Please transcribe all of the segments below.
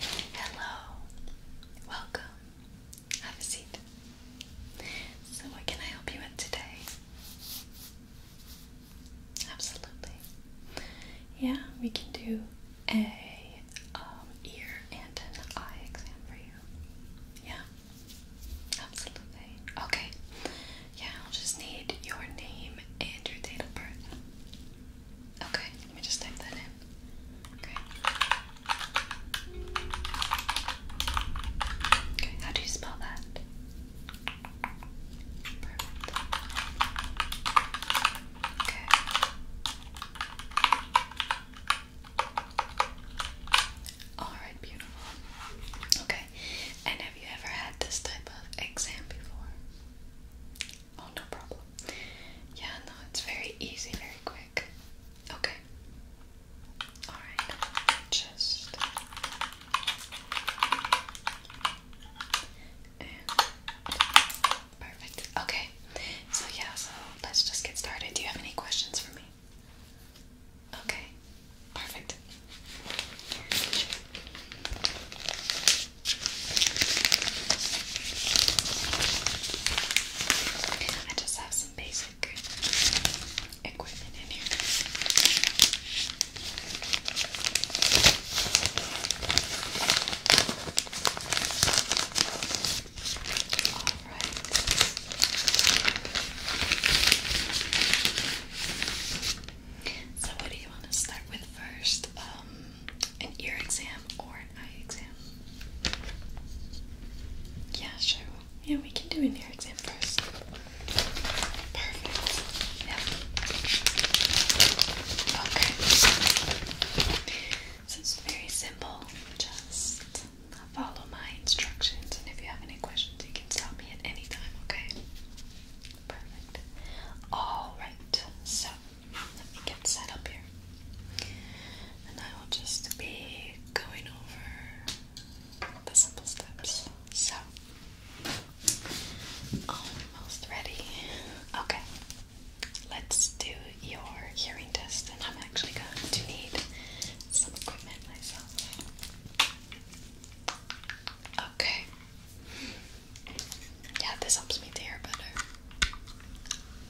Hello, welcome. Have a seat. So, what can I help you with today? Absolutely. Yeah, we can do a um, ear and an eye exam for you. Yeah, absolutely. Okay. Yeah, I'll just need your name and your date of birth. Okay, let me just type that in. Okay. Okay, how do you spell that? Perfect. Okay. Alright, beautiful. Okay. And have you ever had this type of exam before? Oh, no problem. Yeah, no, it's very easy, very quick. Okay. Alright, just. Perfect. Okay. So, yeah, so let's just get started. Do you have any questions for me? Okay. Perfect. I just have some basic equipment in here. All right. So what do you want to start with first? Um, an ear exam or an eye exam? Yeah, sure. Yeah, we can do an ear exam first. Perfect. Yep. Okay. So it's very simple. Just follow my instructions, and if you have any questions, you can stop me at any time, okay? Perfect. Alright, so let me get set up here. And I will just be going over the simple steps. So, almost ready. Okay, let's do your hearing test, and I'm actually going to need some equipment myself. Okay, yeah, this helps me to hear better.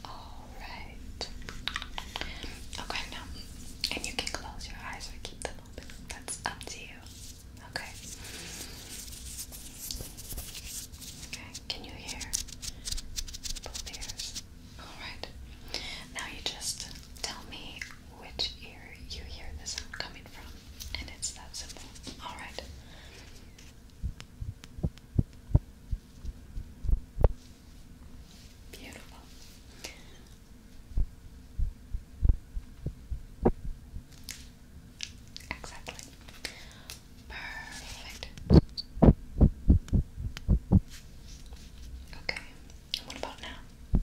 Alright. Okay, and you can close your eyes or keep them open. That's up to you. Okay. Okay, can you hear both ears? Alright. Now you just tell me which ear you hear the sound coming from. And it's that simple. Alright. Beautiful. Exactly. Perfect. Okay. What about now?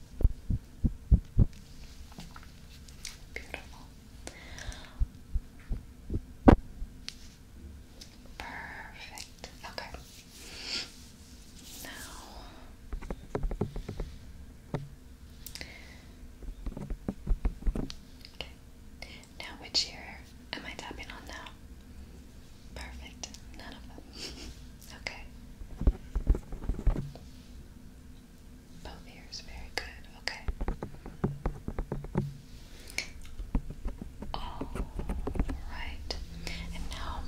Beautiful. Perfect. Okay. Now. Okay. Now, which ear am I tapping on now? Perfect. None of them. okay. Both ears, very good. Okay. All right. And now,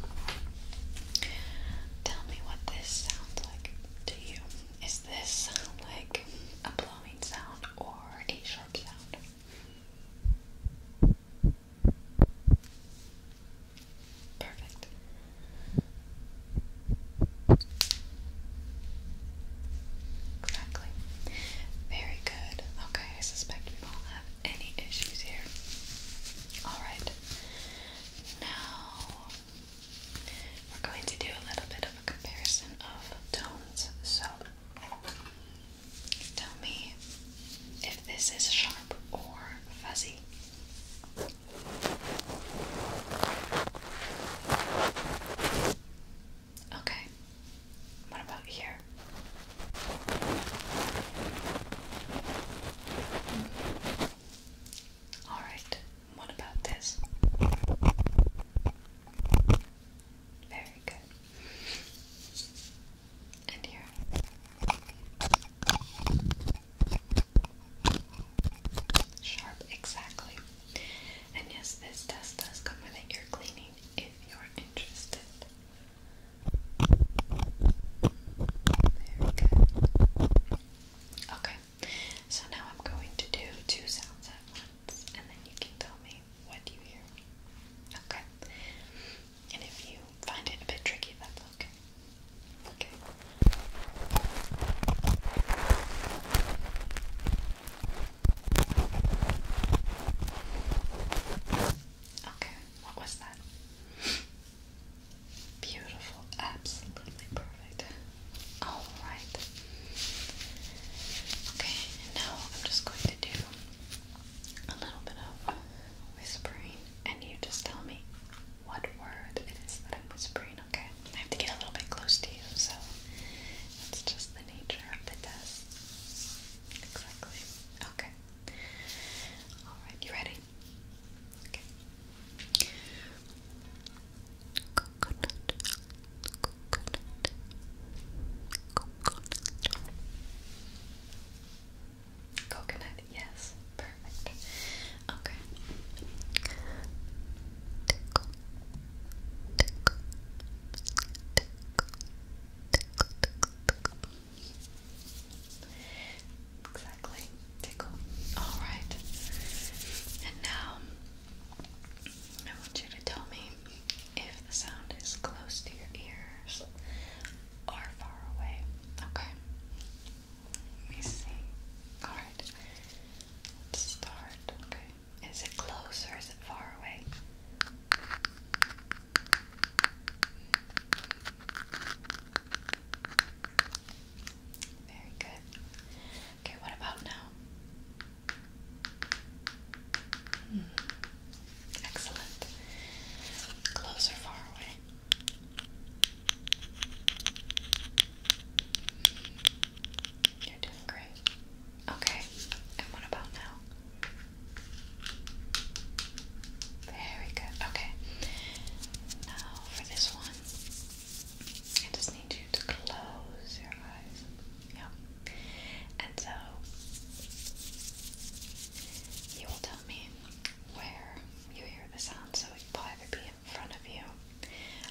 tell me what this sounds like to you. Is this like a blowing sound or a sharp sound? Perfect. Exactly. Very good. Okay, I suspect we won't have any issues here. Alright. Now, we're going to do a little bit of a comparison of tones. So, tell me if this is sharp or fuzzy. Okay. What about here? All right. What about this? Very good. And here. Sharp, exactly. And yes, this test does come with an cleaning if you're interested. Very good. Okay, so now I'm going to do two sounds at once, and then you can tell me what you hear. Okay. And if you find it a bit tricky, that's okay. Okay. Okay, what was that? Beautiful, absolutely perfect. Alright. Okay, now I'm just going to do a little bit of whispering, and you just tell me what word it is that I'm whispering, okay? I have to get a little bit close to you, so it's just the nature of the test. Exactly. Okay. Alright, you ready? Okay. Coconut, yes. Perfect. Okay. Tickle, tickle, tickle, tickle, tickle, tickle. Exactly. Tickle. Alright. And now I want you to tell me if the sound is close to your ears are far away. Okay. Let me see. Alright. start. Okay. Is it close or is it far away? Very good. Okay, what about now? Hmm. Excellent. Close or far away? You're doing great. Okay, and what about now? Very good. Okay, now for this one, I just need you to close your eyes. Yeah. And so, you will tell tell where you hear the sound, so it will either be in front of you,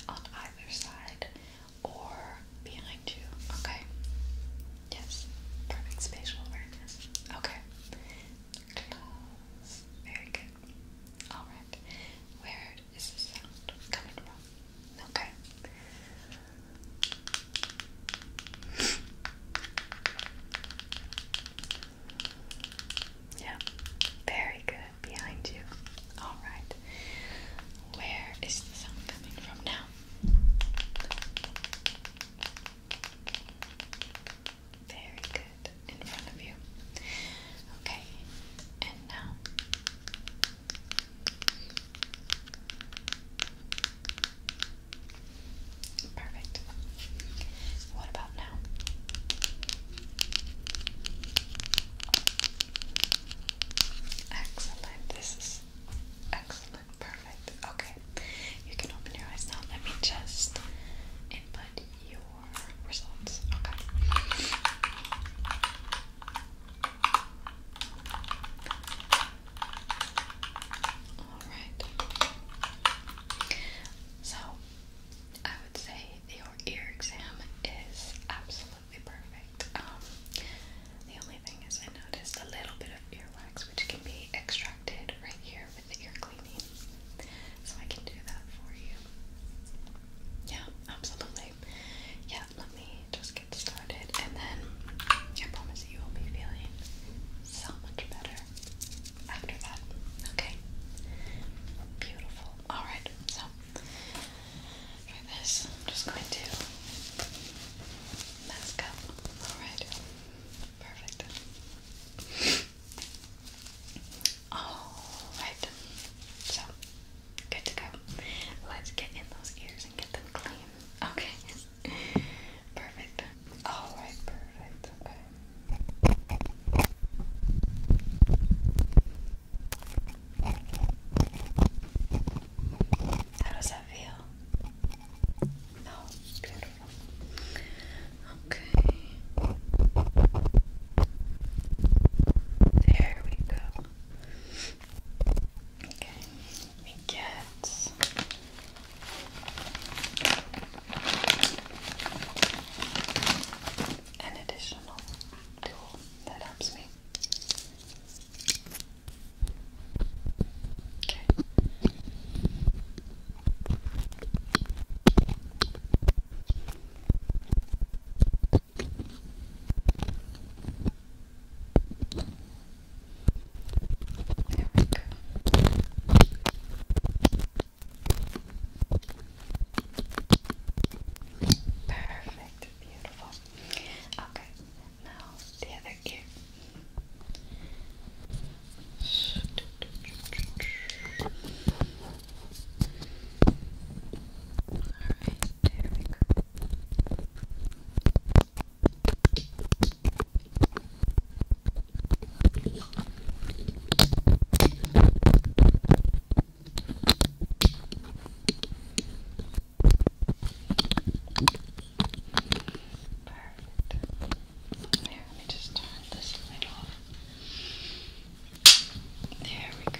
on either side, or behind you, okay? Yes, perfect spatial awareness. Okay, close. Very good. Alright, where is the sound coming from? Okay. Yeah, very good. Behind you. All right. Where is the sound coming from now? Very good. In front of you. Okay. And now. Perfect. What about now? Excellent. This is excellent. Perfect. Okay. You can open your eyes now. Let me just input your results. Okay. Alright. So, I would say your ear exam is absolutely perfect. Um, the only thing is, I noticed a little bit of earwax, which can be extracted right here with ear cleaning. So, I can do that for you. Yeah, absolutely. Yeah, let me just get started, and then I promise you will be feeling so much better after that. Okay? Beautiful. Alright, so for this, I'm just going to mask up. Alright. Perfect. Alright. So, good to go. Let's get in those ears and get them clean. Okay perfect. All right, perfect. Okay. How does that feel? No, Okay. There we go. Okay, let get. An additional tool that helps me. Okay. There we Perfect, beautiful. Okay, now the other ear. Alright, there we go. Perfect. There, let me just turn this light off. There we go.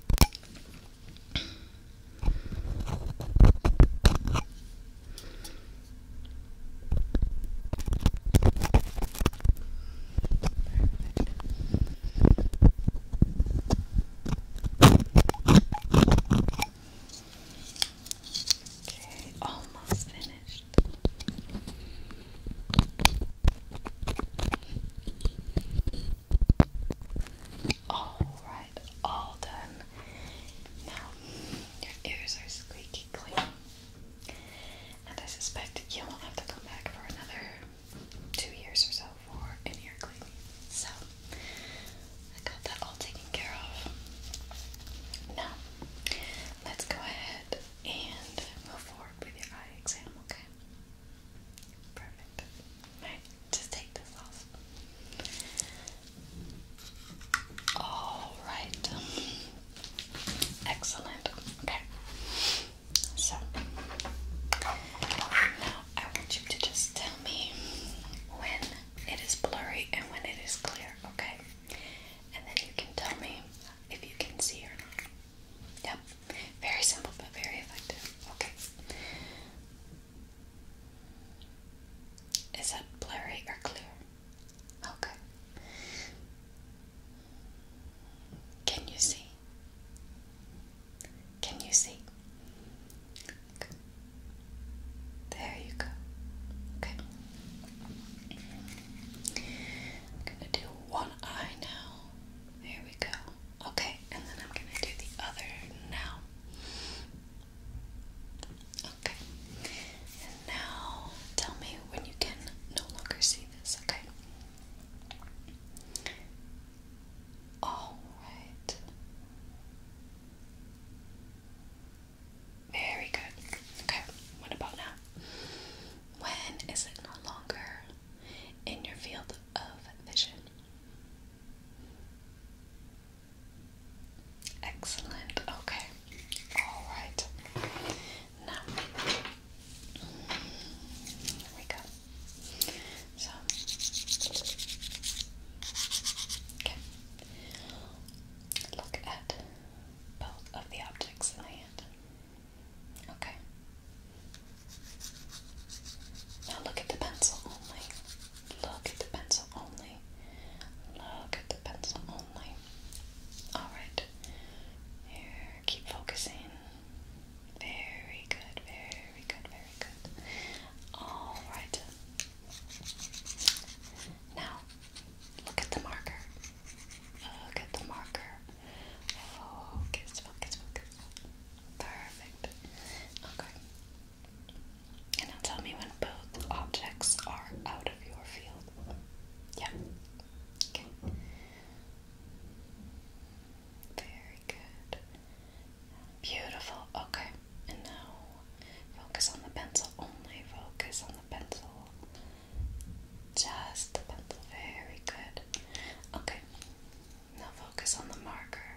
Okay, almost finished. All right, all done. Now your ears are squeaky clean, and I suspect you won't have to come back for another two years or so for an ear cleaning. So I got that all taken care of. Now let's go ahead and move forward with your eye exam. Okay. Okay. Perfect. Alright, just take this off. Alright. Excellent. Okay. So, now I want you to just tell me when it is blurry and when it is clear, okay? And then you can tell me if you can see or not. Yep. Very simple but very effective. Okay. Is that blurry or clear? Okay. Can you see? Can you see? Okay. There you go. Okay. I'm going to do one one eye There we go. Okay, and then I'm gonna do the other now. Okay, and now tell me when you can no longer see this, okay? Alright. Very good. Okay, what about now? When is it no longer in your field of vision? Excellent. Okay. All right. Now, here we go. So, okay. Look at both of the objects in my hand. Okay. Now look at the pencil only. Look at the pencil only. Look at the pencil only. Alright. Here, keep focusing. Very good, very good, very good. Alright. Now, look at the marker. Look at the marker. Focus, focus, focus. Perfect. Okay. And now tell me when both objects are out of your field. Yeah. Okay. Very good. Beautiful. Okay. And now focus on the pencil only. Focus on the pencil. Just the Very good. Okay. Now focus on the marker.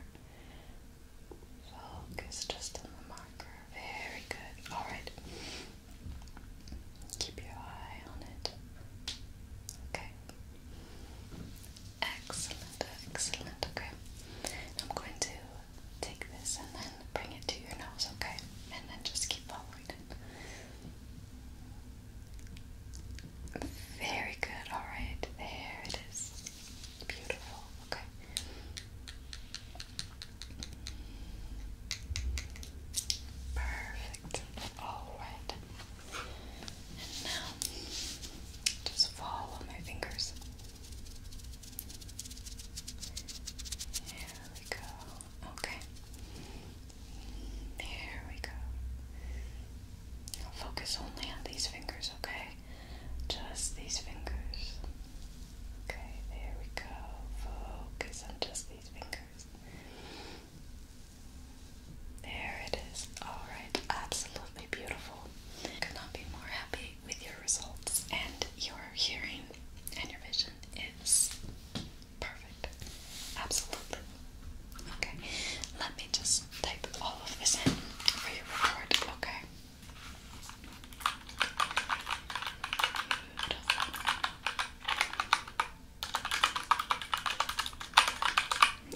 Focus just on the marker. Very good. Alright. Keep your eye on it. Okay. Excellent, excellent. Okay. I'm going to take this and then and bring it to your nose, okay? And then just keep following it. Very good, alright. There it is. Beautiful, okay. Perfect. Alright. And now, just follow my fingers. Here we go. Okay. Here we go. focus only on these fingers, okay? Just these fingers. Okay, there we go. Focus on just these fingers. There it is. Alright, absolutely beautiful. Could not be more happy with your results, and your hearing and your vision is perfect. Absolutely. Okay, let me just type all of this in for your report, okay?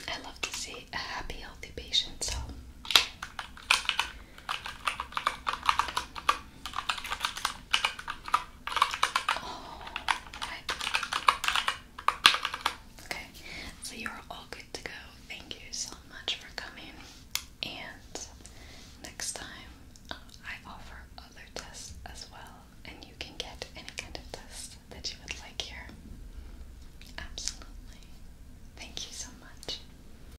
I love to see a happy, healthy patient, so Oh, okay, so you're all good to go. Thank you so much for coming. And next time, uh, I offer other tests as well, and you can get any kind of test that you would like here. Absolutely. Thank you so much.